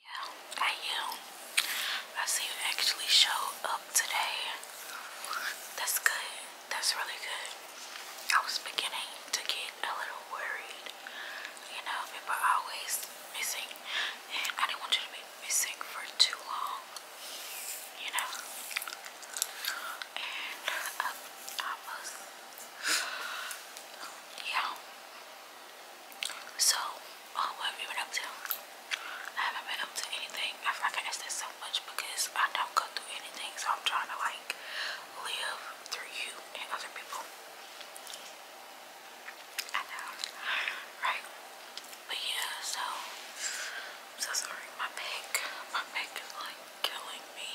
Yeah, I am. I see you actually showed up today. That's good. That's really good. I was beginning to get a little worried. You know, people are always missing, and I didn't want you to be missing for too long. You know, and uh, I was, yeah. So, um, what have you been up to? I haven't been up to anything. I feel like I ask that so much because I don't go through anything, so I'm trying to like live through you and other people. I know, right? But yeah, so I'm so sorry. My back, my back is like killing me.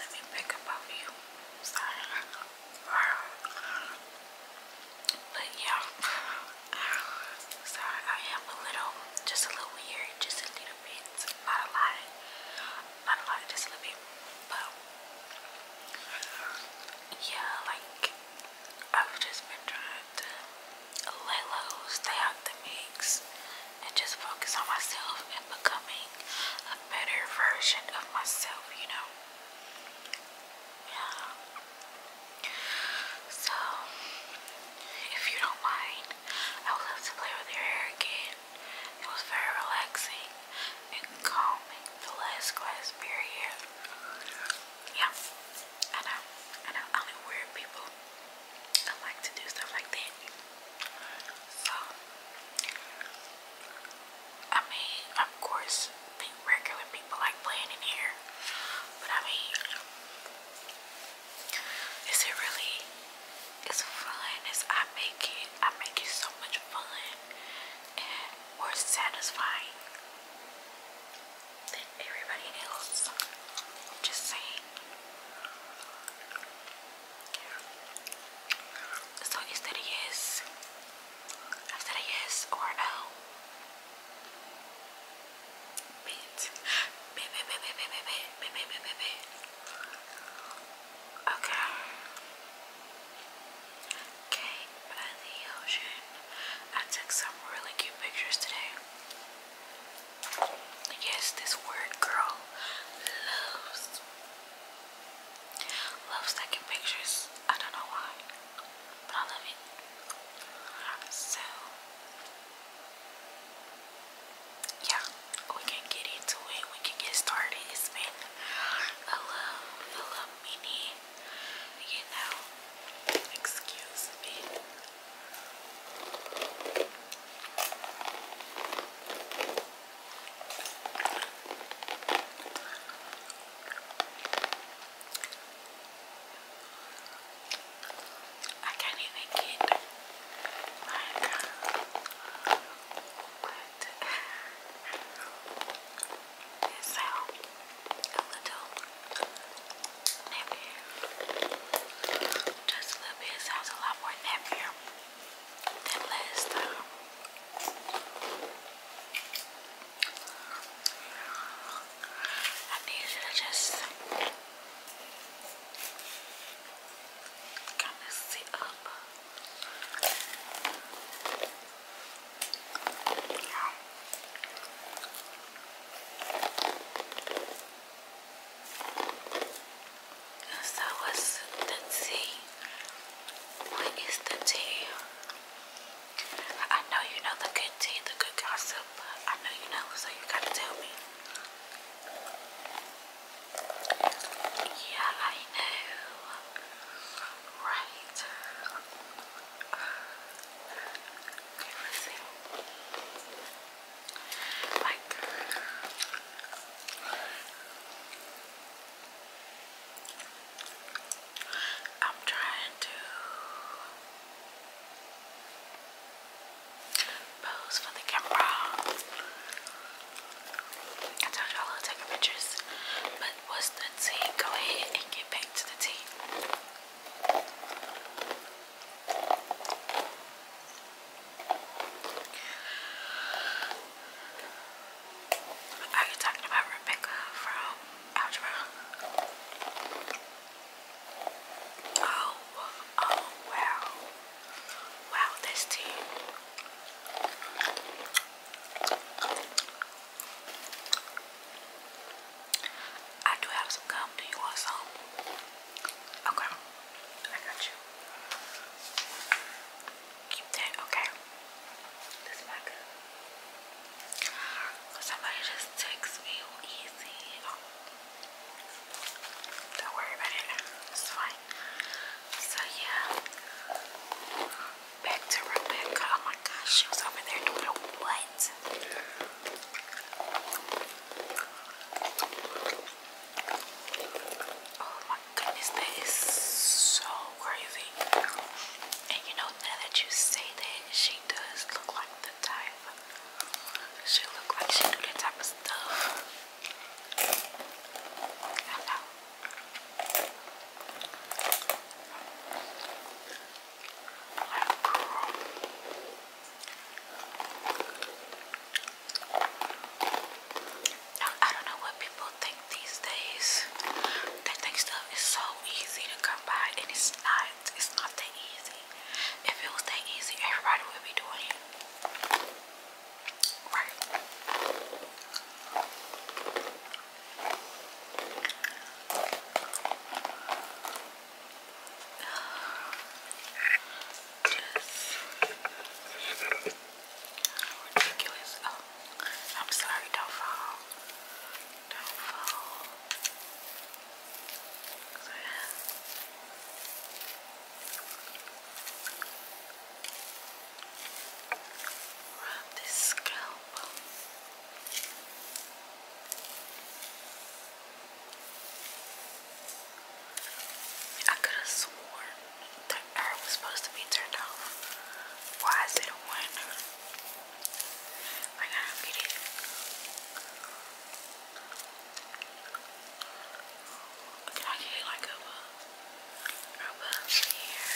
Let me pick up off you. Sorry. But yeah, sorry, I am a little, just a little weird, just a little bit, not a lot, not a lot, just a little bit. But yeah, like I've just been trying to lay low, stay out the mix, and just focus on myself and becoming a better version of myself, you know. Yeah. So, if you don't mind, I would love to play with your hair again. It was very relaxing and calming the last class period. Yeah, I know. I know. i weird people. like to do stuff like that. So, I mean, of course, regular people like playing in here, but I mean, is it really? It's fun. It's I make it. I make it so much fun and more satisfying than everybody else. I'm just saying. So instead of yes, I said yes or no. Bit. Bit, bit, bit, bit, bit, bit, bit, bit, bit, bit, Okay. Cape the ocean. I took some really cute pictures today. Yes, this word girl loves Loves taking pictures. I don't know why, but I love it. So, yeah, we can get into it. We can get started. It's been a mini, you know, excuse me. I can't even get like what this a little nappier. Just a little bit sounds a lot more nappier than last I need you to just kind of sit up. Yeah. So what's the tea? What is the tea? I know you know the good tea, the good gossip. I know you know, so you gotta tell me. Yeah, I know. Right. Okay, let Like, I'm trying to pose for the camera. I told y'all I was taking pictures, but what's the tea? Go ahead and get back to the tea. Are you talking about Rebecca from Algebra? Oh, oh wow. Wow, this team. I do have some gum. Do you want Okay, I got you keep that, okay? This is Somebody just text me easy. Don't worry about it. It's fine. So yeah. Back to Rebecca. Oh my gosh, she was over there doing what? Oh my goodness, that is so crazy. And you know, now that you say that, she does look like the type. She look like she do that type of stuff. I know. I don't know what people think these days. They think stuff is so easy to come by, and it's not. It's not that easy. If it was that easy, everybody would be doing it. Right. Just ridiculous. Oh, I'm sorry, don't fall. Don't fall. Rub this scalp. I could have sworn the air was supposed to be turned off. Why is it on? I gotta read it. Can I get like a a here?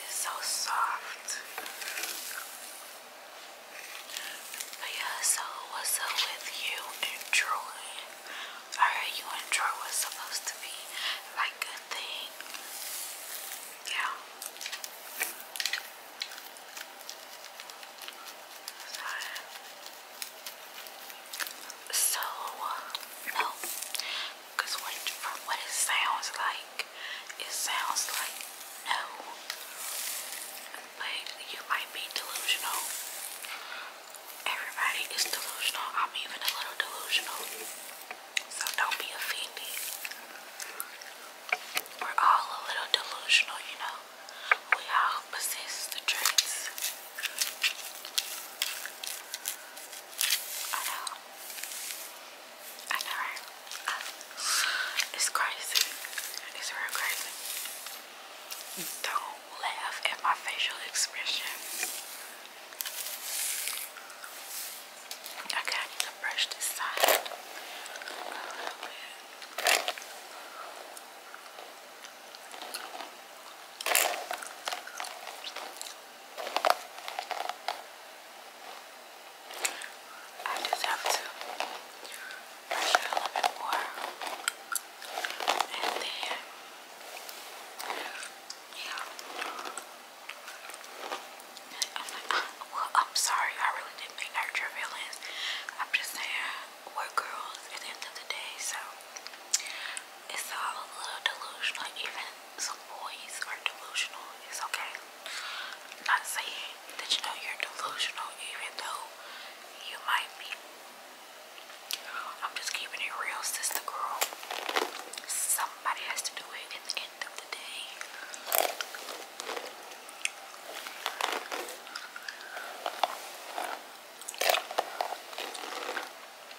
It's so soft. But yeah, so what's up with you and Troy? I heard you and Troy was supposed to be like a thing. Yeah. So, no. Uh, Cause from what it sounds like, it sounds like no. But you might be delusional. Everybody is delusional. I'm even a little delusional. So don't be offended. We're all a little delusional, you know. We all possess the traits. I know. Uh, it's crazy. It's real crazy. Don't laugh at my facial expression. I need to brush this side I just have to brush a little bit more and then yeah I'm like uh, well I'm sorry I really didn't mean to hurt your feelings I'm just saying we're girls at the end of the day so it's all a little delusional even some boys are delusional. It's okay. I'm not saying that you know you're delusional, even though you might be. I'm just keeping it real, sister girl. Somebody has to do it at the end of the day.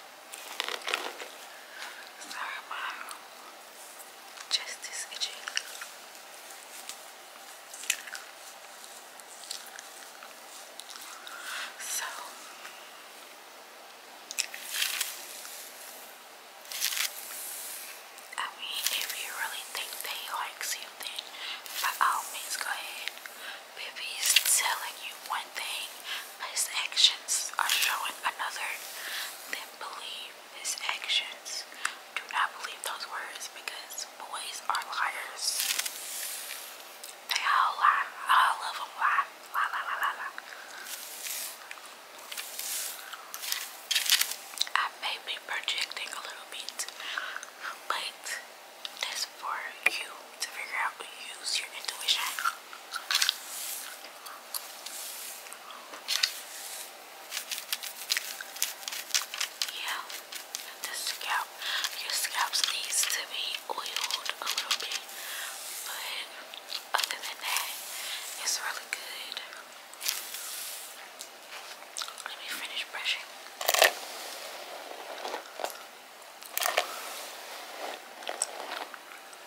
Sorry, my chest is So I mean, if you really think they like something, by all means, go ahead. Baby is telling you one thing, but his actions are showing another, then believe his actions. Do not believe those words because boys are liars. They all lie. All of them Lie, lie, lie, lie, lie. I may be projecting a little bit, but that's for you to figure out. Use your intuition. Yeah, the scalp, your scalp needs to be oiled a little bit, but other than that, it's really good. Let me finish brushing.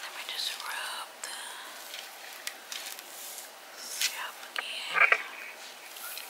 And let me just rub the scalp again.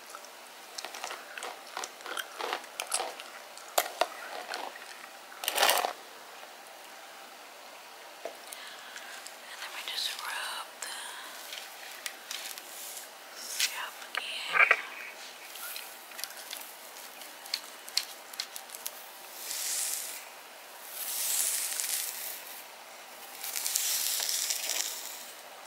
And let me just rub the scalp again. Okay.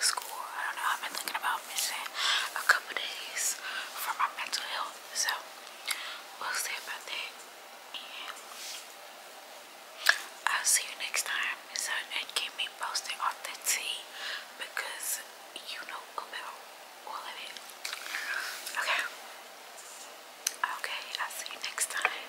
school. I don't know. I've been thinking about missing a couple days for my mental health. So we'll see about that. And I'll see you next time. So and keep me posted on the tea because you know about all of it. Okay. Okay, I'll see you next time.